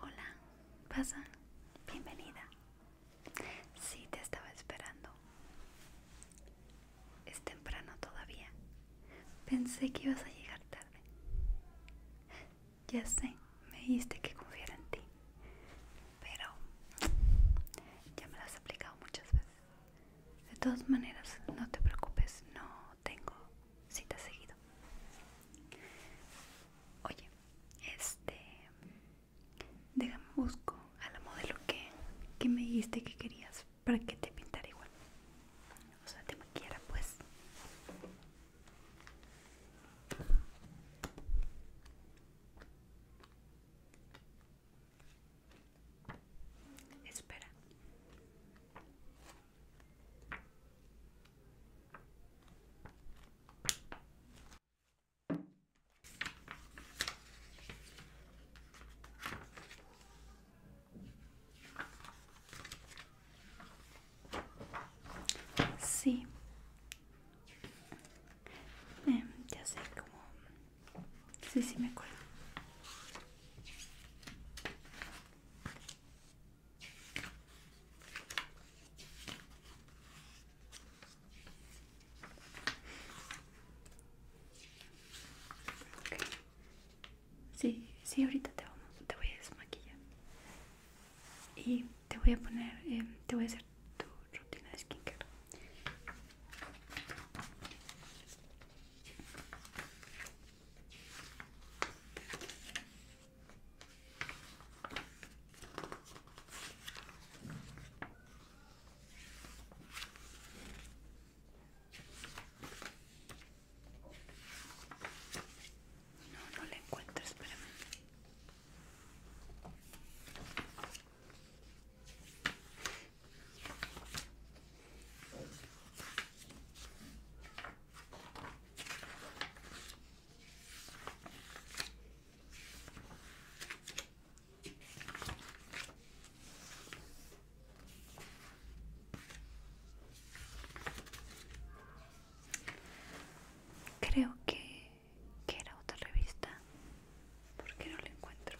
Hola, pasa, bienvenida. Sí, te estaba esperando. Es temprano todavía. Pensé que ibas a llegar tarde. Ya sé, me dijiste que confiara en ti. Pero ya me lo has aplicado muchas veces. De todas maneras, no te preocupes, no tengo si te has seguido. Oye, este. Déjame busco a la modelo que, que me dijiste que querías para que te pintara igual. O sea, te maquillara, pues. Espera. Sí. Eh, ya sé cómo. Sí, sí, me acuerdo. Sí, sí, ahorita te, vamos, te voy a desmaquillar y te voy a poner, em, te voy a hacer tu rutina de skincare. No, no la encuentro, espérame. Creo que, era otra revista, porque no la encuentro.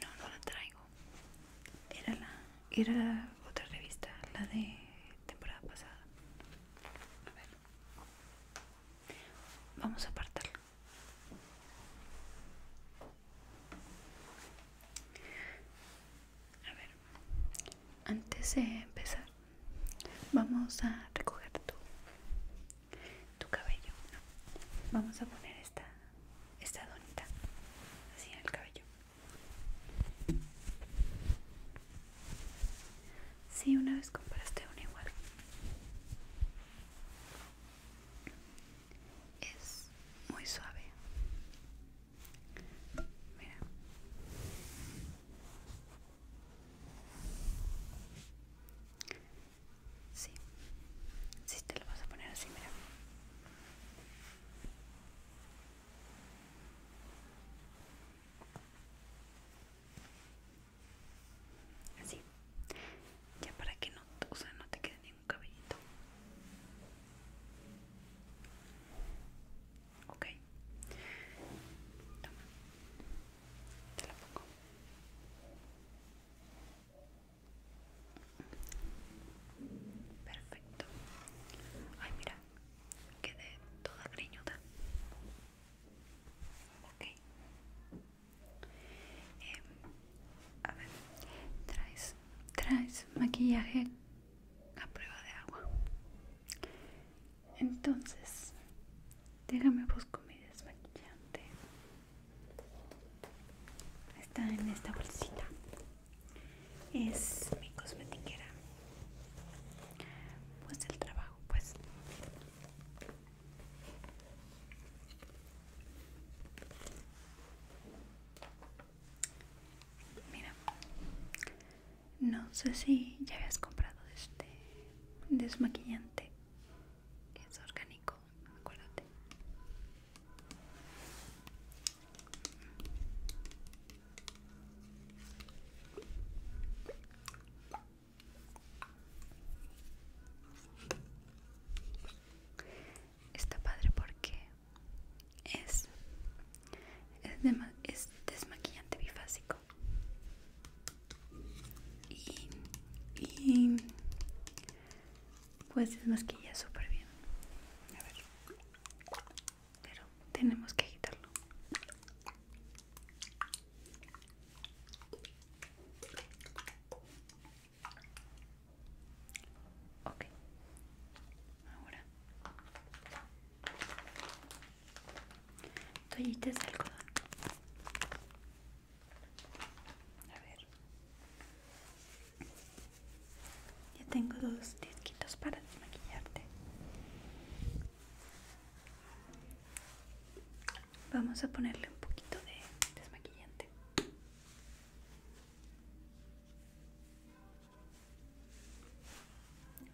No, no la traigo. Era la, era otra revista, la de temporada pasada. A ver. Vamos a apartarla. A ver, antes de empezar, vamos a recoger tu, cabello. Vamos a poner esta, esta donita así en el cabello. Sí, una vez compraste una igual es muy suave sí si te lo vas a poner así mira Así, ya para que no, o sea, no te quede un cabellito ok te la pongo perfecto ay mira quedé toda griñuda okay. Em, a ver, traes, traes maquillaje a prueba de agua. Entonces, déjame busco mi desmaquillante. Está en esta bolsita. Es mi cosmetiquera. Pues el trabajo, pues. Mira, no sé si ya habías comprado este desmaquillante. Es orgánico, acuérdate. Está padre porque es, es, desmaquillante bifásico y, y pues desmaquilla súper bien a ver pero tenemos que agitarlo Ok. Ahora. Toallitas de algodón. A ver. Ya tengo dos disquitos para desmaquillarte. Vamos a ponerle un poquito de desmaquillante.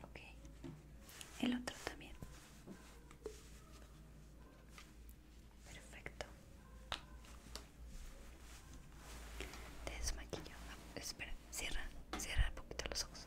Ok, el otro también. Perfecto. Te desmaquillo. Ah, espera, cierra, cierra un poquito los ojos.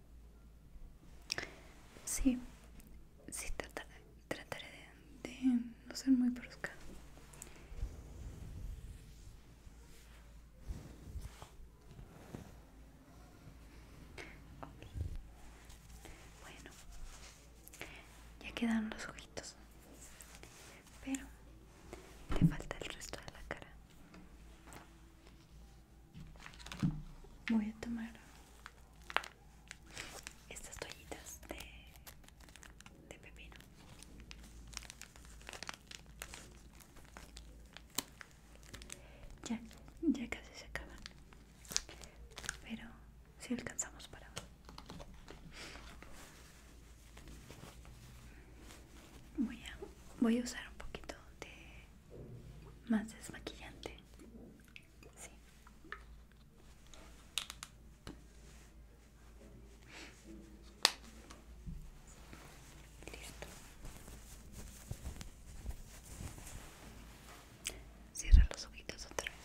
Sí, sí trataré, de, no ser muy brusca. Bueno, ya quedan los ojitos, pero te falta el resto de la cara voy a tomar estas toallitas de, pepino ya, ya casi se acaban pero si alcanzamos para voy voy a usar un poquito de más desmaquillante. Sí. Listo. Cierra los ojitos otra vez.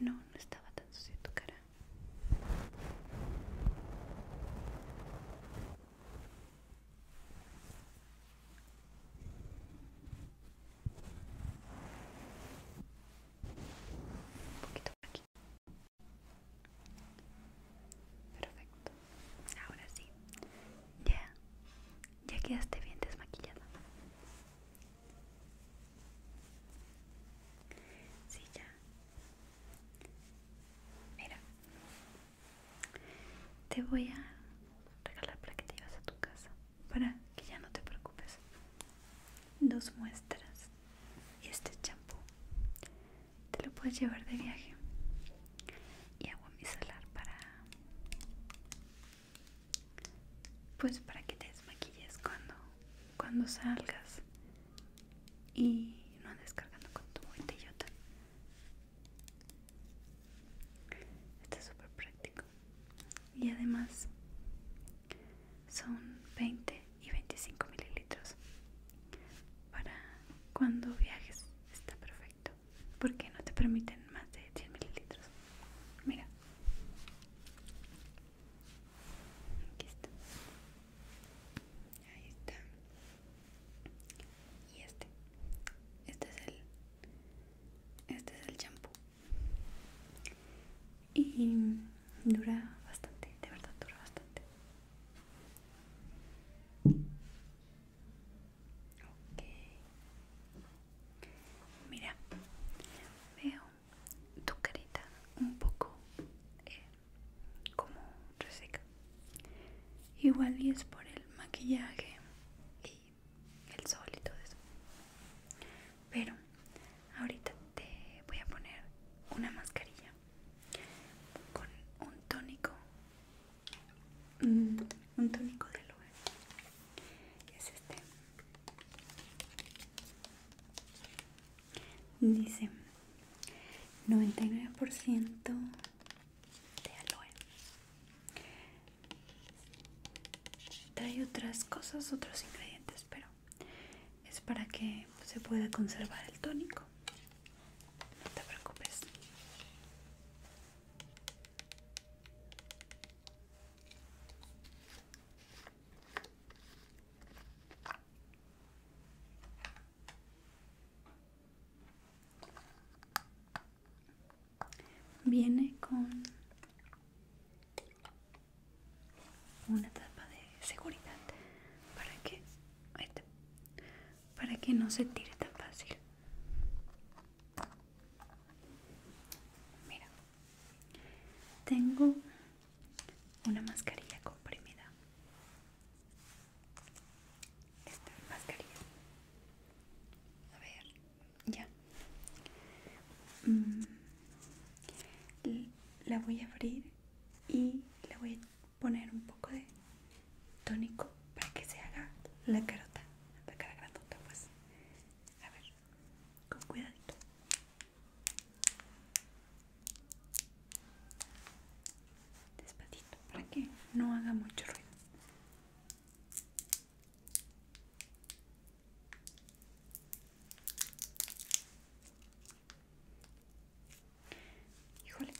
No, no estaba tan sucia tu cara. Un poquito aquí. Perfecto. Ahora sí. Ya. Ya quedaste bien desmaquillada. Sí, ya. Mira. Te voy a regalar para que te a tu casa para que ya no te preocupes dos muestras y este champú te lo puedes llevar de viaje y agua micelar para pues para que te desmaquilles cuando cuando salgas y no andes cargando con tu botellota está súper práctico y además son 20 y 25 mililitros para cuando viajes está perfecto porque no te permiten más de 10 mililitros mira aquí está ahí está y este este es el este es el champú y dura bastante, de verdad dura bastante. Ok. Mira, veo tu carita un poco eh, como reseca. Igual y es por el maquillaje y el sol y todo eso. Pero ahorita te voy a poner una mascarilla con un tónico, mm, un tónico de aloe. Es este. Dice 99% de aloe trae otras cosas otros ingredientes pero es para que se pueda conservar el tónico no te preocupes Viene con una tapa de seguridad para que para que no se tire tan fácil. Mira, tengo una mascarilla comprimida. Esta mascarilla. A ver, ya mm, la voy a abrir y le voy a poner un poco de tónico para que se haga la carota la cara grandota pues a ver con cuidadito despacito para que no haga mucho ruido Híjole.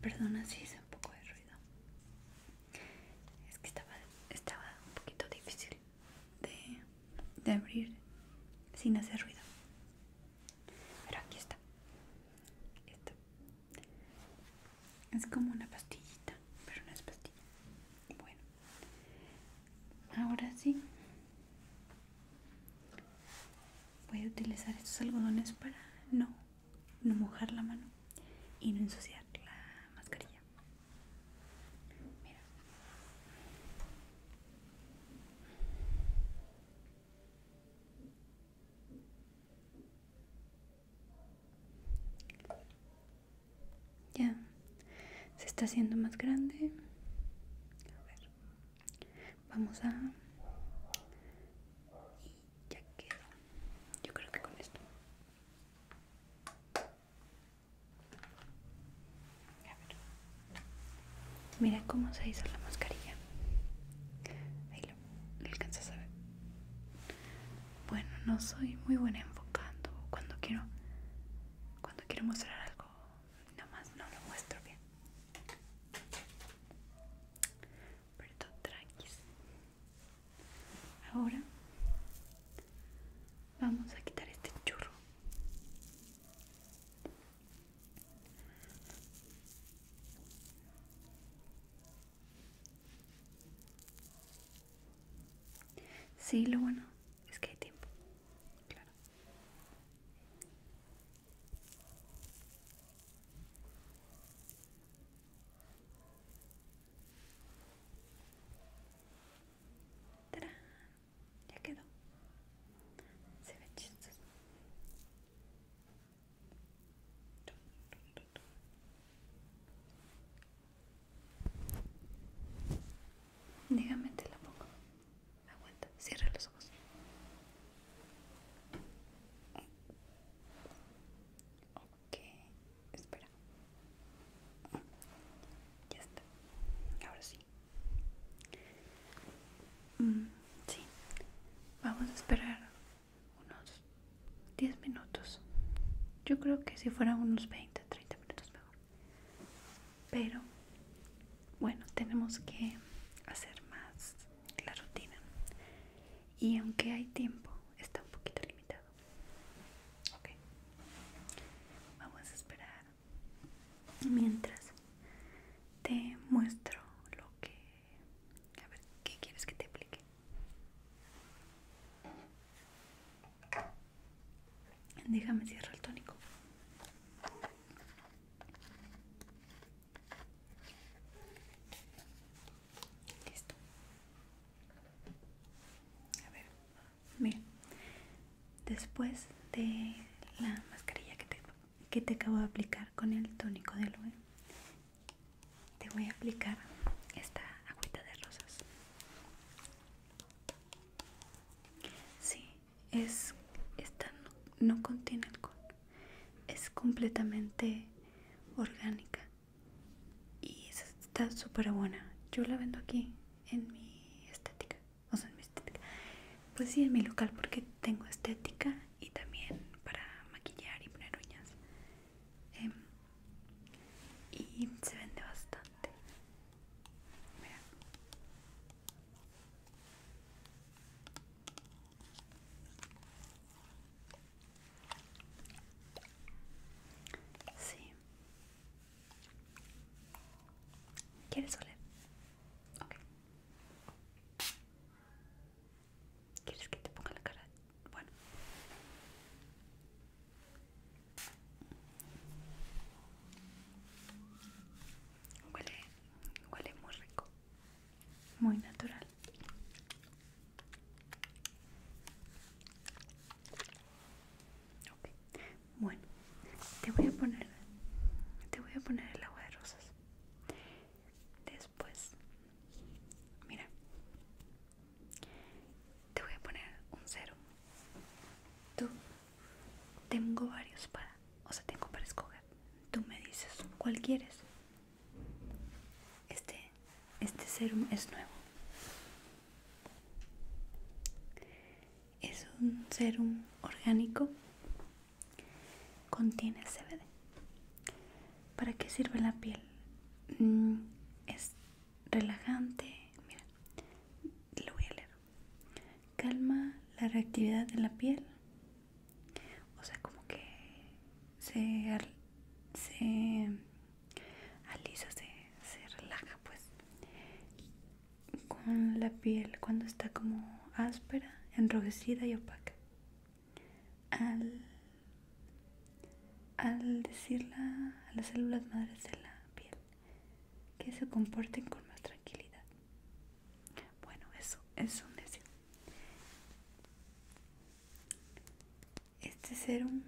Perdona si hice un poco de ruido. Es que estaba, estaba un poquito difícil de, abrir sin hacer ruido. Pero aquí está. Esto. Es como una pastillita, pero no es pastilla. Bueno. Ahora sí. Voy a utilizar estos algodones para no, no mojar la mano y no ensuciar la mascarilla. Mira. Ya, se está haciendo más grande. A ver, vamos a... ya quedó. Yo creo que con esto. Miren Mira cómo se hizo la mascarilla. Ahí lo, alcanzas a ver. Bueno, no soy muy buena enfocando. Cuando quiero, cuando quiero mostrar algo, nomás no lo muestro bien. Pero todo tranquilo Ahora vamos a quitar este churro. Sí, lo bueno es que hay tiempo. Claro ya quedó. Se ve chistoso. Dígame te la pongo. Aguanta, cierra los ojos. Ok, espera. Ya está. Ahora sí. Mm, sí, vamos a esperar unos 10 minutos. Yo creo que si fueran unos 20, 30 minutos mejor. Pero bueno, tenemos que hacer más la rutina. Y aunque hay tiempo, está un poquito limitado. Ok. Vamos a esperar mientras te muestro lo que a ver qué quieres que te aplique déjame cierro el tónico listo a ver Mira, después de la mascarilla que te, que acabo de aplicar con el tónico de aloe, te voy a aplicar esta agüita de rosas. Sí, es esta no contiene alcohol, es completamente orgánica y está súper buena. Yo la vendo aquí en mi estética o en mi Pues sí, en mi local porque tengo estética y también para maquillar y poner uñas. Em, y se vende bastante. Mira. Sí, ¿Quieres oler? Ok. ¿Quieres que te ponga la cara? Bueno. Huele, huele muy rico. Muy natural. Okay. Bueno, te voy a poner, te voy a poner el agua de rosas. Después, mira, te voy a poner un serum Tú, tengo varios para, o sea, tengo para escoger. Tú me dices cuál quieres. Este, este serum es nuevo es un serum orgánico, contiene CBD. ¿Para qué sirve la piel? Mm, es relajante, mira, lo voy a leer. Calma la reactividad de la piel, o sea, como que se, se alisa, se, se relaja, pues con la piel cuando está como áspera, enrojecida y opaca. Al, al decirla a las células madres de la piel que se comporten con más tranquilidad. Bueno, eso es un deseo. Este serum,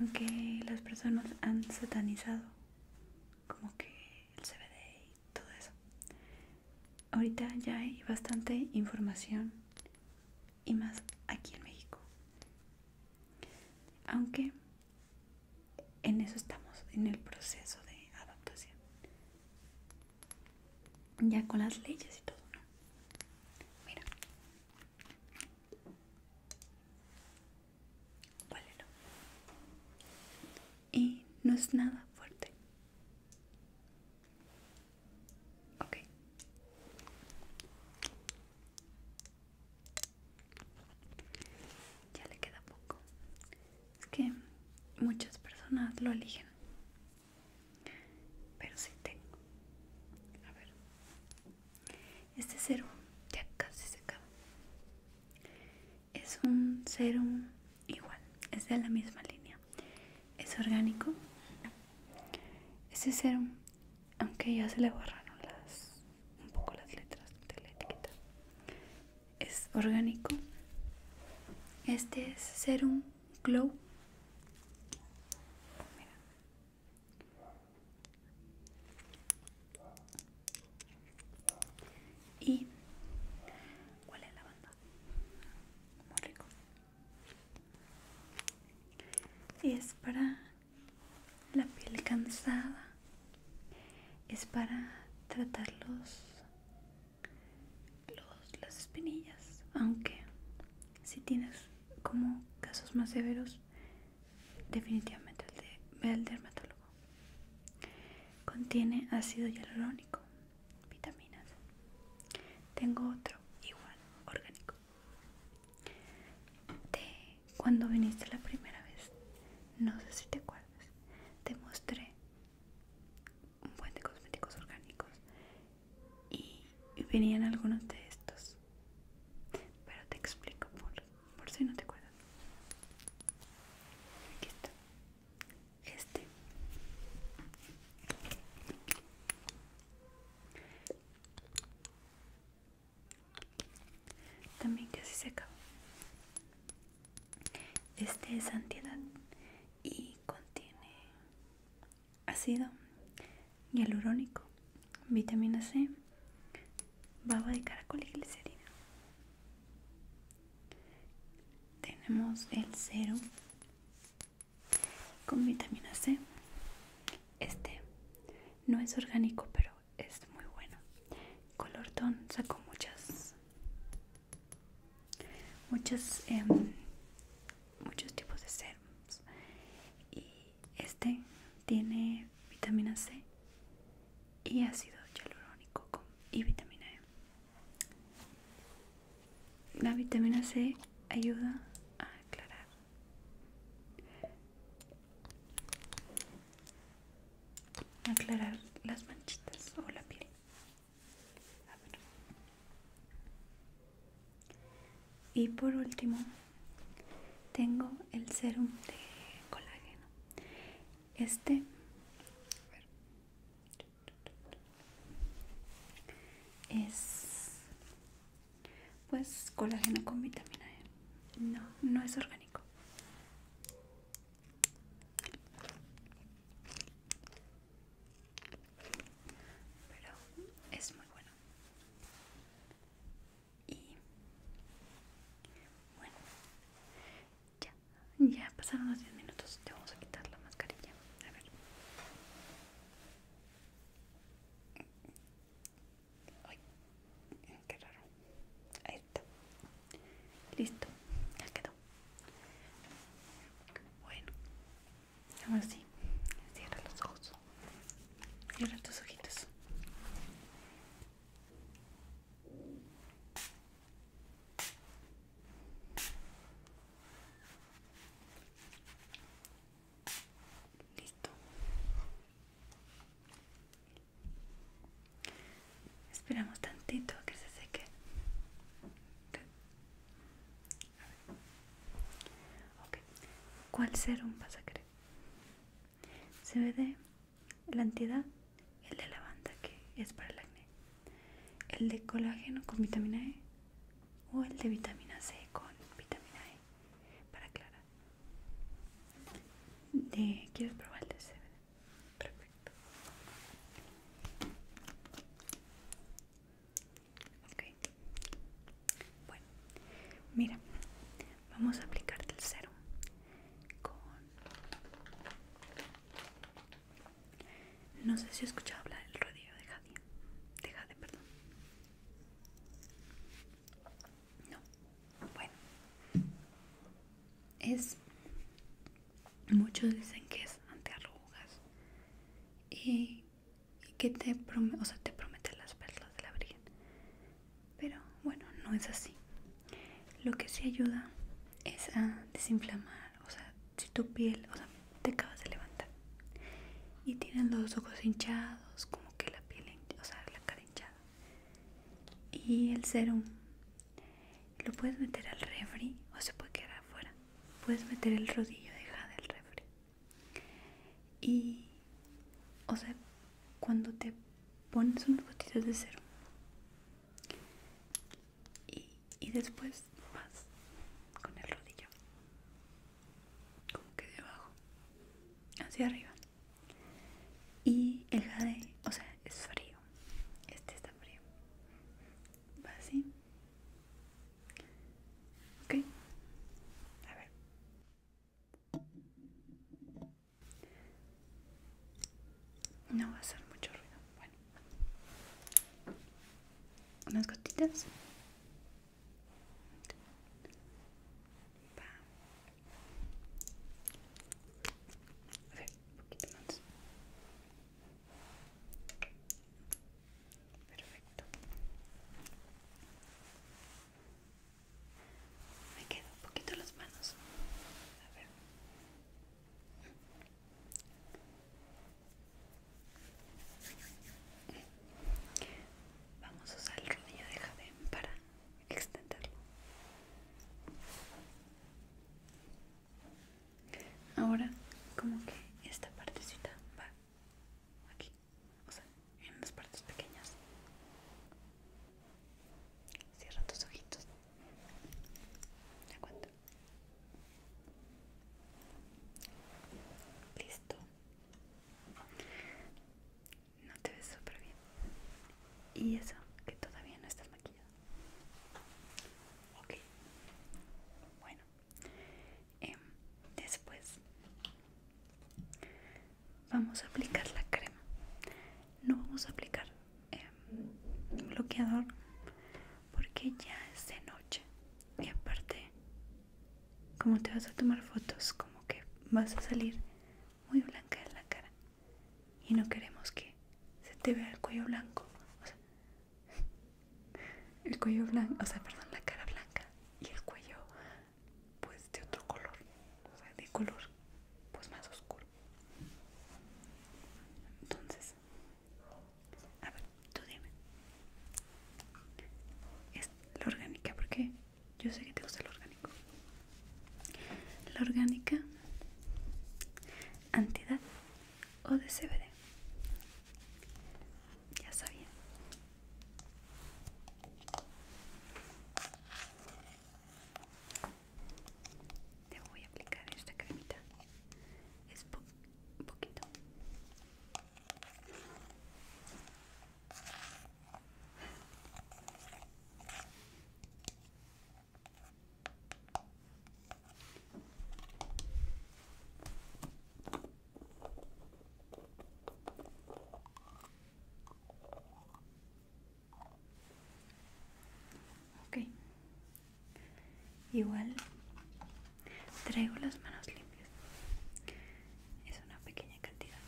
aunque las personas han satanizado como que el CBD y todo eso. Ahorita ya hay bastante información y más aquí en México. Aunque en eso estamos, en el proceso de adaptación. Ya con las leyes y todo, Mira. Y no es nada fuerte. Ok. Ya le queda poco. Es que muchas personas lo eligen. Pero si tengo. A ver. Este serum ya casi se acaba. Es un serum igual, es de la misma línea. Es orgánico. Este serum, aunque ya se le borraron las un poco las letras de la etiqueta, es orgánico. Este es serum glow y cuál es la banda muy rico es para la piel cansada es para tratar los, los las espinillas aunque si tienes como casos más severos definitivamente el de ve dermatólogo. Contiene ácido hialurónico, vitaminas. Tengo otro igual, orgánico. cuando viniste la primera vez, no sé si te acuerdas, te mostré un buen de cosméticos orgánicos y venían algunos de estos. Pero te explico por por si no te acuerdas aquí está este también casi se acabó este es antiedad y contiene ácido hialurónico vitamina C baba de caracol y glicerina. Tenemos el cero con vitamina C. Este no es orgánico, pero es muy bueno. Colorton sacó muchas, muchas, em, muchos tipos de serums. Y este tiene vitamina C y ácido hialurónico con, y vitamina E. La vitamina C ayuda a aclarar. Aclarar las manchitas o la piel. Y por último, tengo el serum de colágeno. Este es pues colágeno con vitamina E. No, no es orgánico. Pero es muy bueno. Y bueno, ya, ya pasaron los 10 minutos. Te vamos a quitar la mascarilla. A ver. Ay, raro. Ahí está. Listo, ya quedó. Bueno, ahora sí, cierra los ojos. Cierra tus ojitos. Listo. Esperamos tantito que se seque. ¿Cuál serum vas a ve de la entidad, el de lavanda que es para el acné, el de colágeno con vitamina E o el de vitamina C con vitamina E para Clara. De, ¿Quieres probar el de C? Perfecto. Ok. Bueno, mira, Vamos a aplicar el cero con... No sé si he escuchado hablar del rodillo de Jade. De Jade, perdón. No. Bueno. Es... Muchos dicen que es antiarrugas y, y que te, promete, o sea, te promete las perlas de la virgen pero bueno, no es así. Lo que sí ayuda es a desinflamar. O sea, si tu piel, o sea, te acabas de levantar y tienes los ojos hinchados, como que la piel, o sea, la cara hinchada. Y el serum lo puedes meter al refri o se puede quedar afuera. Puedes meter el rodillo de jade al refri. Y, o sea, cuando te pones unas gotitas de cero y, después vas con el rodillo como que de abajo hacia arriba y el jade o sea es frío este está frío va así ok a ver no va a hacer mucho ruido. Bueno, unas gotitas. poquito más. Perfecto. Me quedo un poquito las manos. A ver. Vamos a usar el rodillo de Jadén para extenderlo. Ahora, como que esta partecita va aquí, o sea, en las partes pequeñas. Cierra tus ojitos. de Listo. No te ves súper bien. Y eso, que todavía no estás maquillado. Ok. Bueno. Em, después vamos a aplicar la crema no vamos a aplicar em, bloqueador porque ya es de noche y aparte como te vas a tomar fotos como que vas a salir muy blanca en la cara y no queremos que se te vea el cuello blanco el cuello blanco o sea perdón la cara blanca y el cuello pues de otro color o de color pues más oscuro entonces, a ver, tú dime. Es la orgánica, porque yo sé que te gusta lo orgánico. La orgánica, antidad o de CBD. Ya sabía te voy a aplicar esta cremita es poquito Ok. Igual traigo las manos limpias. Es una pequeña cantidad.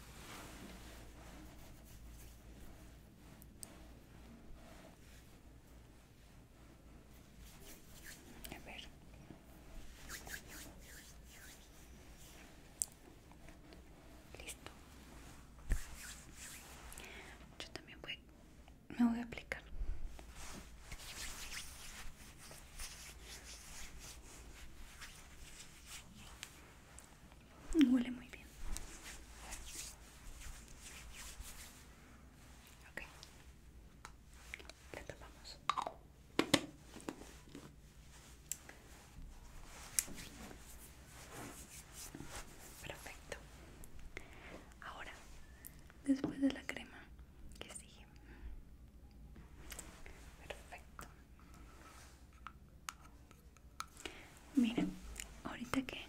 A ver. Listo. Yo también voy, me voy a aplicar. Huele muy bien. okay tapamos. Perfecto. Ahora, después de la crema, que sigue? Perfecto. Mira ahorita que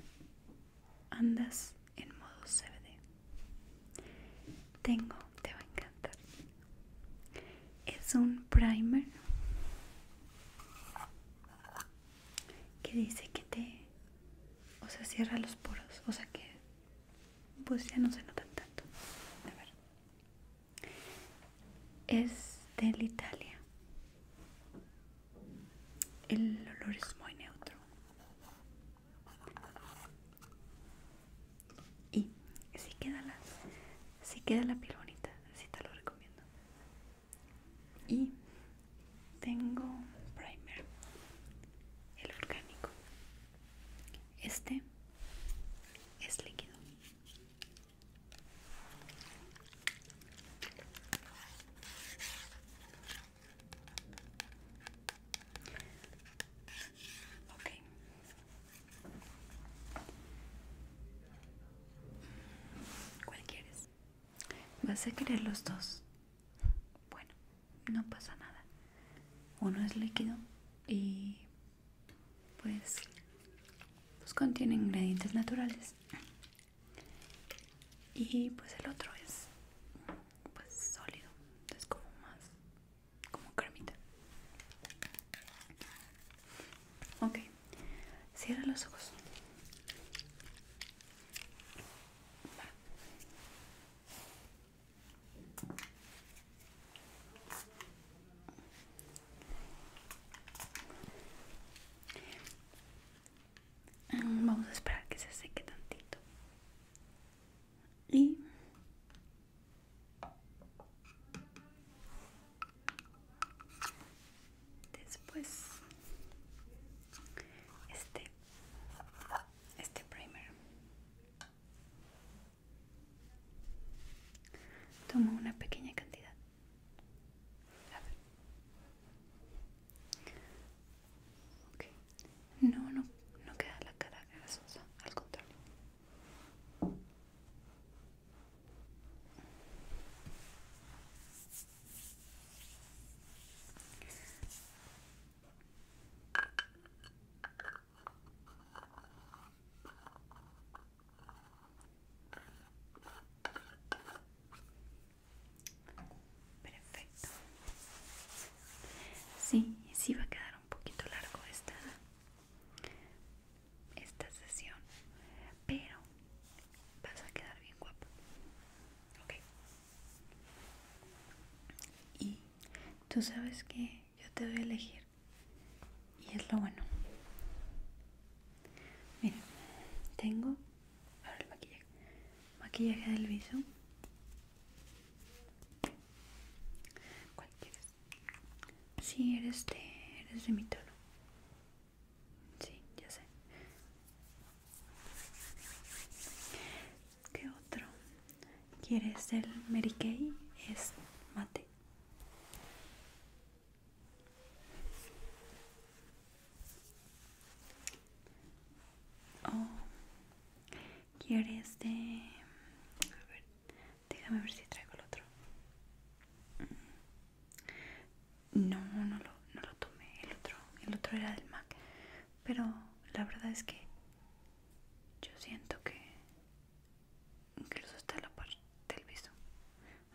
andas en modo CBD, tengo, te va a encantar. Es un primer que dice que te, o sea, cierra los poros, o sea que pues ya no se notan tanto. A ver. Es del Italia. El olor es muy neutro. Y si queda la, si queda la piel bonita, así te lo recomiendo y tengo primer el orgánico este es líquido ok ¿Cuál quieres? Vas a querer los dos. Bueno, no pasa nada. Uno es líquido y pues, pues, contiene ingredientes naturales. Y pues el otro es pues sólido. Es como más como cremita. Ok. Cierra los ojos. Mm, vamos a esperar que se seque tantito. Y después este, este primer tomo una pequeña cantidad no no no queda la cara grasosa al contrario Perfecto. Sí, sí va a quedar un poquito largo esta esta sesión, pero vas a quedar bien guapo, ¿ok? Y tú sabes que yo te voy a elegir y es lo bueno. Mira, tengo ahora el maquillaje, maquillaje del viso. ¿Cuál quieres? Si eres de, eres de mi tono. Sí, ya sé. ¿Qué otro? ¿Quieres el Mary Es mate. Oh, ¿quieres de...? A ver, déjame ver si traigo el otro. No, no lo, no lo tomé. El otro, el otro era del MAC. Pero la verdad es que yo siento que incluso está la parte del viso.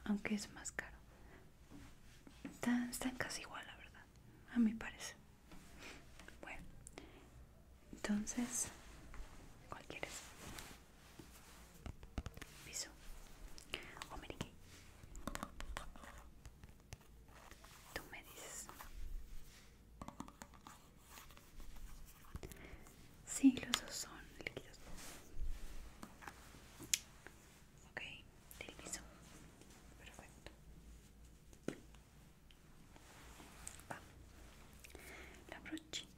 Aunque es más caro. Están, están casi igual, la verdad. A mi parece. Bueno. Entonces, ¿cuál quieres? Piso. o me ¿qué? Tú me dices. Sí, los dos son líquidos. Ok, del piso. Perfecto. Va. La brochita.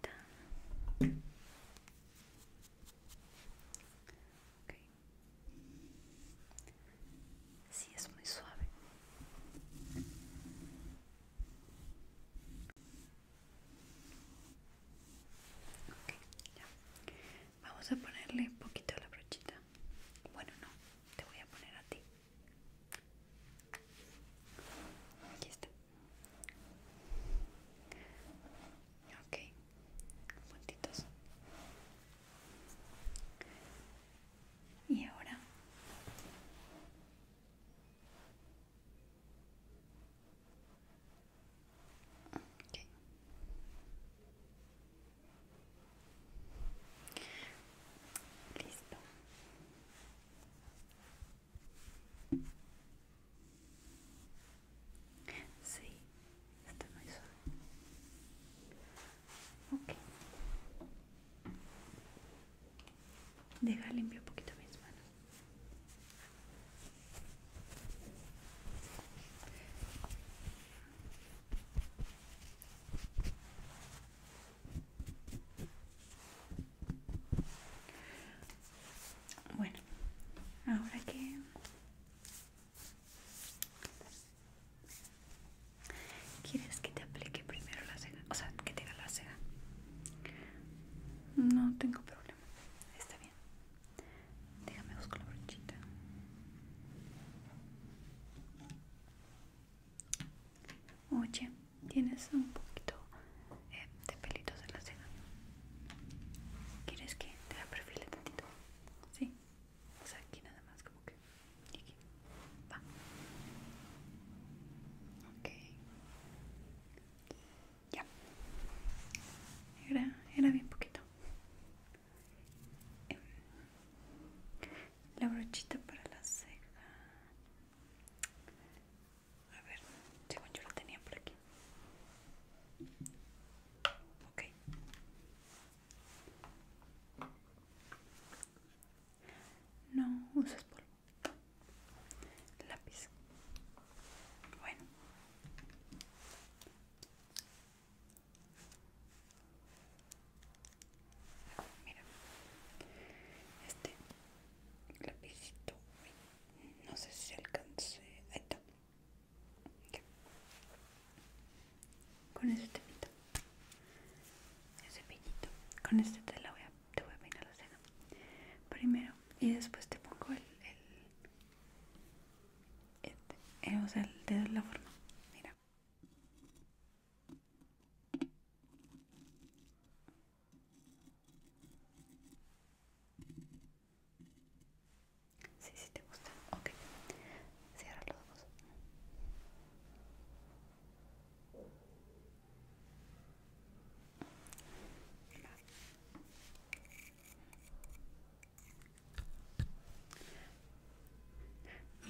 Si Sí, es muy suave. Vamos a ponerle un poquito a la brochita. Bueno, no, te voy a poner a ti. Aquí está. Ok puntitos y ahora okay. listo Sí, está muy suave. Okay. Deja limpio un poquito mis manos. Bueno, ahora que ¿Quieres que te aplique primero la cera? O sea, que te haga la cera. No tengo problema. Está bien. Déjame buscar la brochita. Oye, tienes un poquito eh, de pelitos en la cera. ¿Quieres que te perfile tantito? Sí. O sea, aquí nada más como que. Y aquí. Va. Ok. Ya. Era, era bien poquito. Em, la brochita para la ceja. A ver, según yo la tenía por aquí. No usas polvo. Lápiz. Bueno. Mira. Este lápizito, No sé si alcancé... Ahí está. Con ese temito, ese piñito, con este te, la voy a, te voy a peinar la cena primero y después te pongo el, el, eh, o sea, el de la forma. Mira. Sí, sí te gusta. Ok. Cierra los ojos.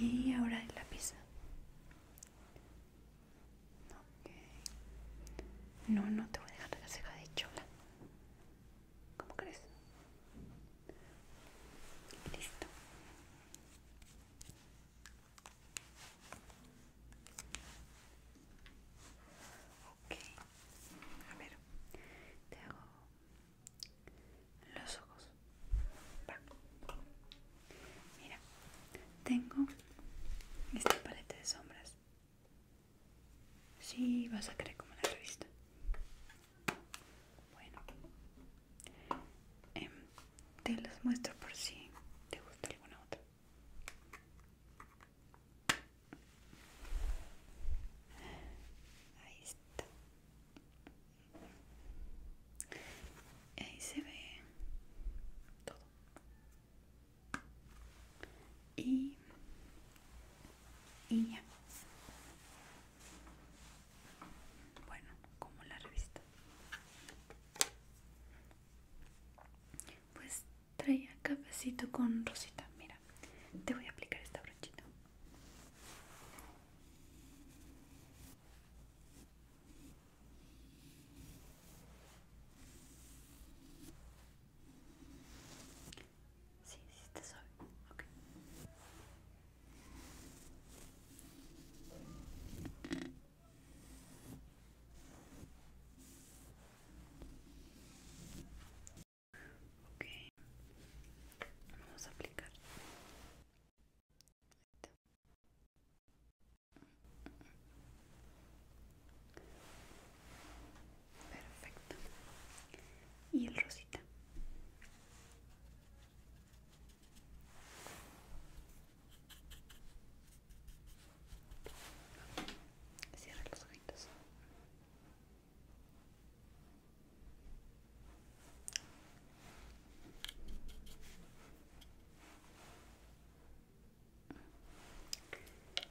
Y ahora el lápiz. Okay. No, no te voy a dejar la ceja de chola. ¿Cómo crees? Listo. Ok. A ver, Tengo los ojos. Mira, tengo este paleta de sombras Sí, vas a querer como la revista. Bueno, em, te los muestro por si te gusta alguna otra. Ahí está. Ahí se ve todo. Y y ya bueno como la revista pues traía cafecito con rosita mira te voy a aplicar esta brochita Sí, sí está suave. Ok. Ok. Vamos a aplicar. Perfecto. Y el rosita. Cierra los ojitos.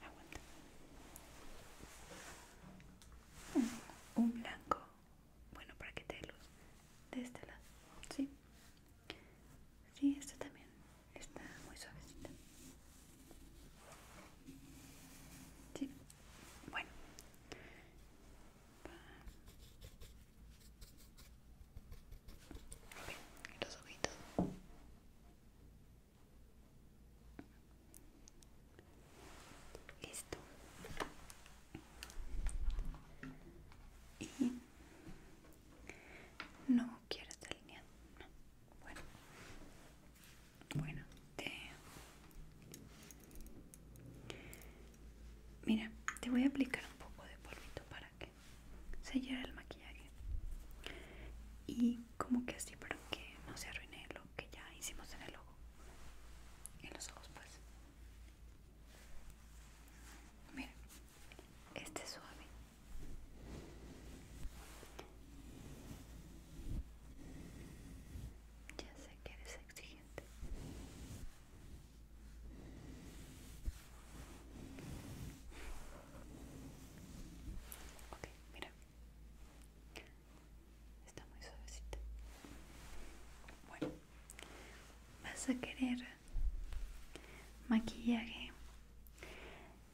Aguanta un, blanco bueno para que te luz de este lado sí sí esta también está muy suavecita sí bueno los ojitos Listo. Y no quiero esta No. Bueno. Bueno, te... Mira, te voy a aplicar un poco de polvito para que llene el maquillaje. Y como que así para que no se arruine lo que ya hicimos en el ojo en los ojos pues Mira este suave ya sé que eres exigente ok mira Está muy suavecita. Bueno, vas a querer maquillaje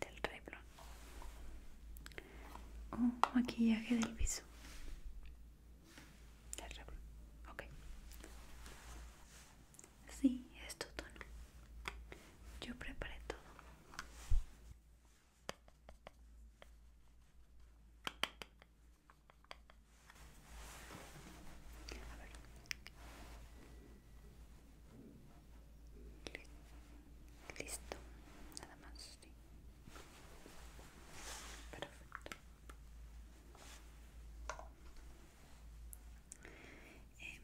del rebro. o maquillaje del viso Del rebro. ok. Sí, es tu tono. Yo preparé todo. Listo, nada más, Perfecto. Eh,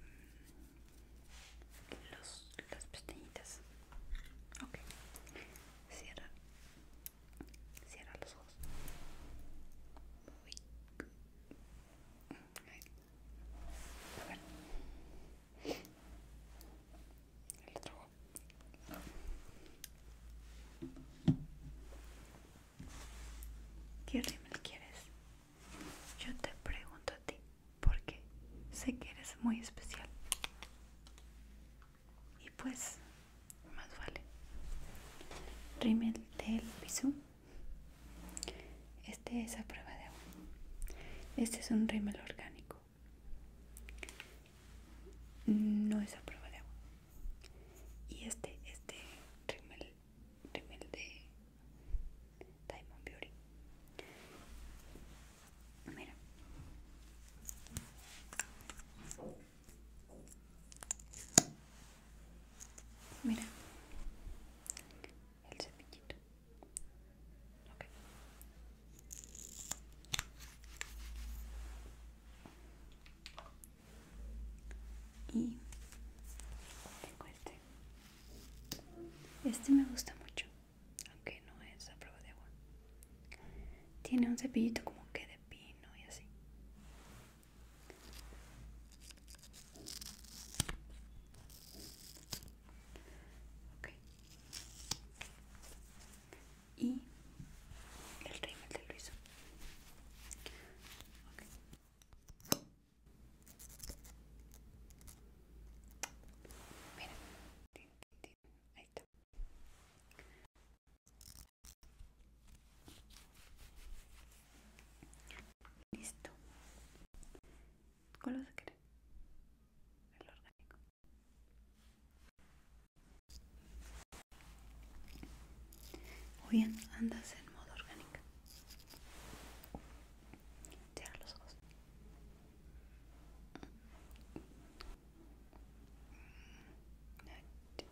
los, las pestañitas Ok, cierra, cierra los ojos. Muy a El otro ojo. ¿Qué rímel quieres? Yo te pregunto a ti porque sé que eres muy especial. Y pues, más vale. Rímel del Bisú. Este es a prueba de agua. Este es un rímel orgánico. No es a prueba de agua. Y este, este rímel, rímel de Diamond Beauty. Mira. Mira. El cepillito. Okay. Y tengo este. Este me gusta mucho aunque no es a prueba de agua. Tiene un cepillito como que de pino y así. Okay. Y el rímel de ruizo, Okay. Mira. Listo. ¿Cuál vas a El orgánico. bien, andas en modo orgánico. Cierra los ojos. Listo.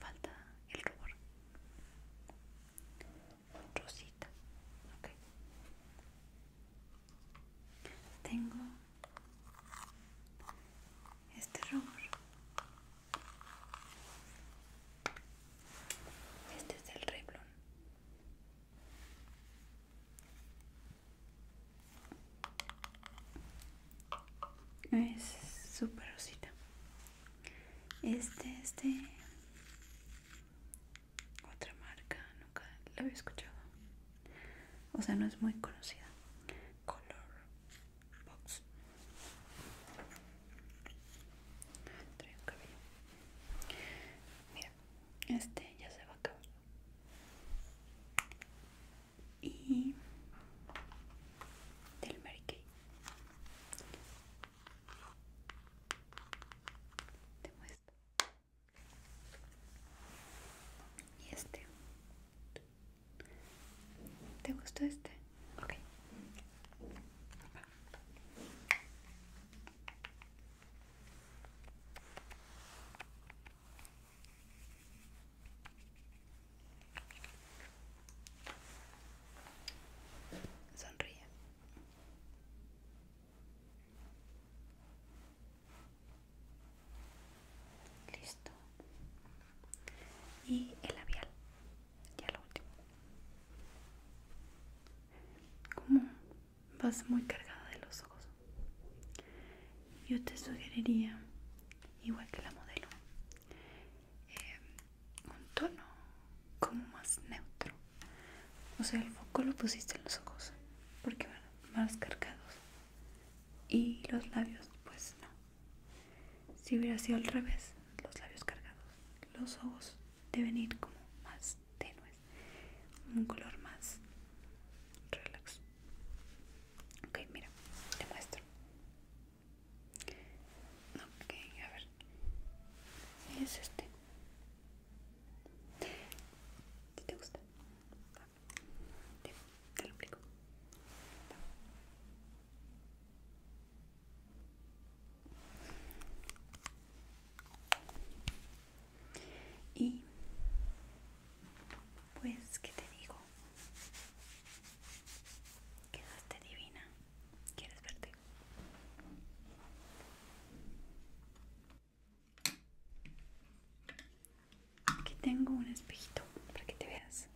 Falta el rubor. Rosita. Tengo este rubor este es el Reblon Es super rosita. Este es de otra marca, nunca la había escuchado. O sea, no es muy conocida. Color box trae un cabello mira este ya se va a acabar y del Mary Kay te muestro y este te gustó este Ok. Sonríe. Listo. Y el labial ya lo último como vas muy cargada de los ojos yo te sugeriría igual que la modelo eh, un tono como más neutro o sea el foco lo pusiste en los ojos porque van más cargados y los labios pues no si hubiera sido al revés, los labios cargados, los ojos deben ir como más tenues, un color más relax. Ok, mira, te muestro. Ok, a ver. Es este. te gusta? Te, lo explico. Y pues, ¿qué te digo? Quedaste divina. ¿Quieres verte? Aquí tengo un espejito para que te veas.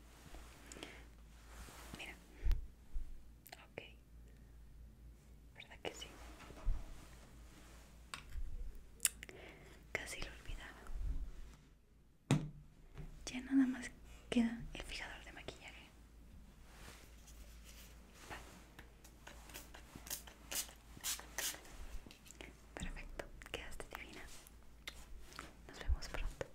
Mira, Ok, ¿verdad que sí? Casi lo olvidaba. Ya nada más queda el fijador de maquillaje. Perfecto, quedaste divina. Nos vemos pronto.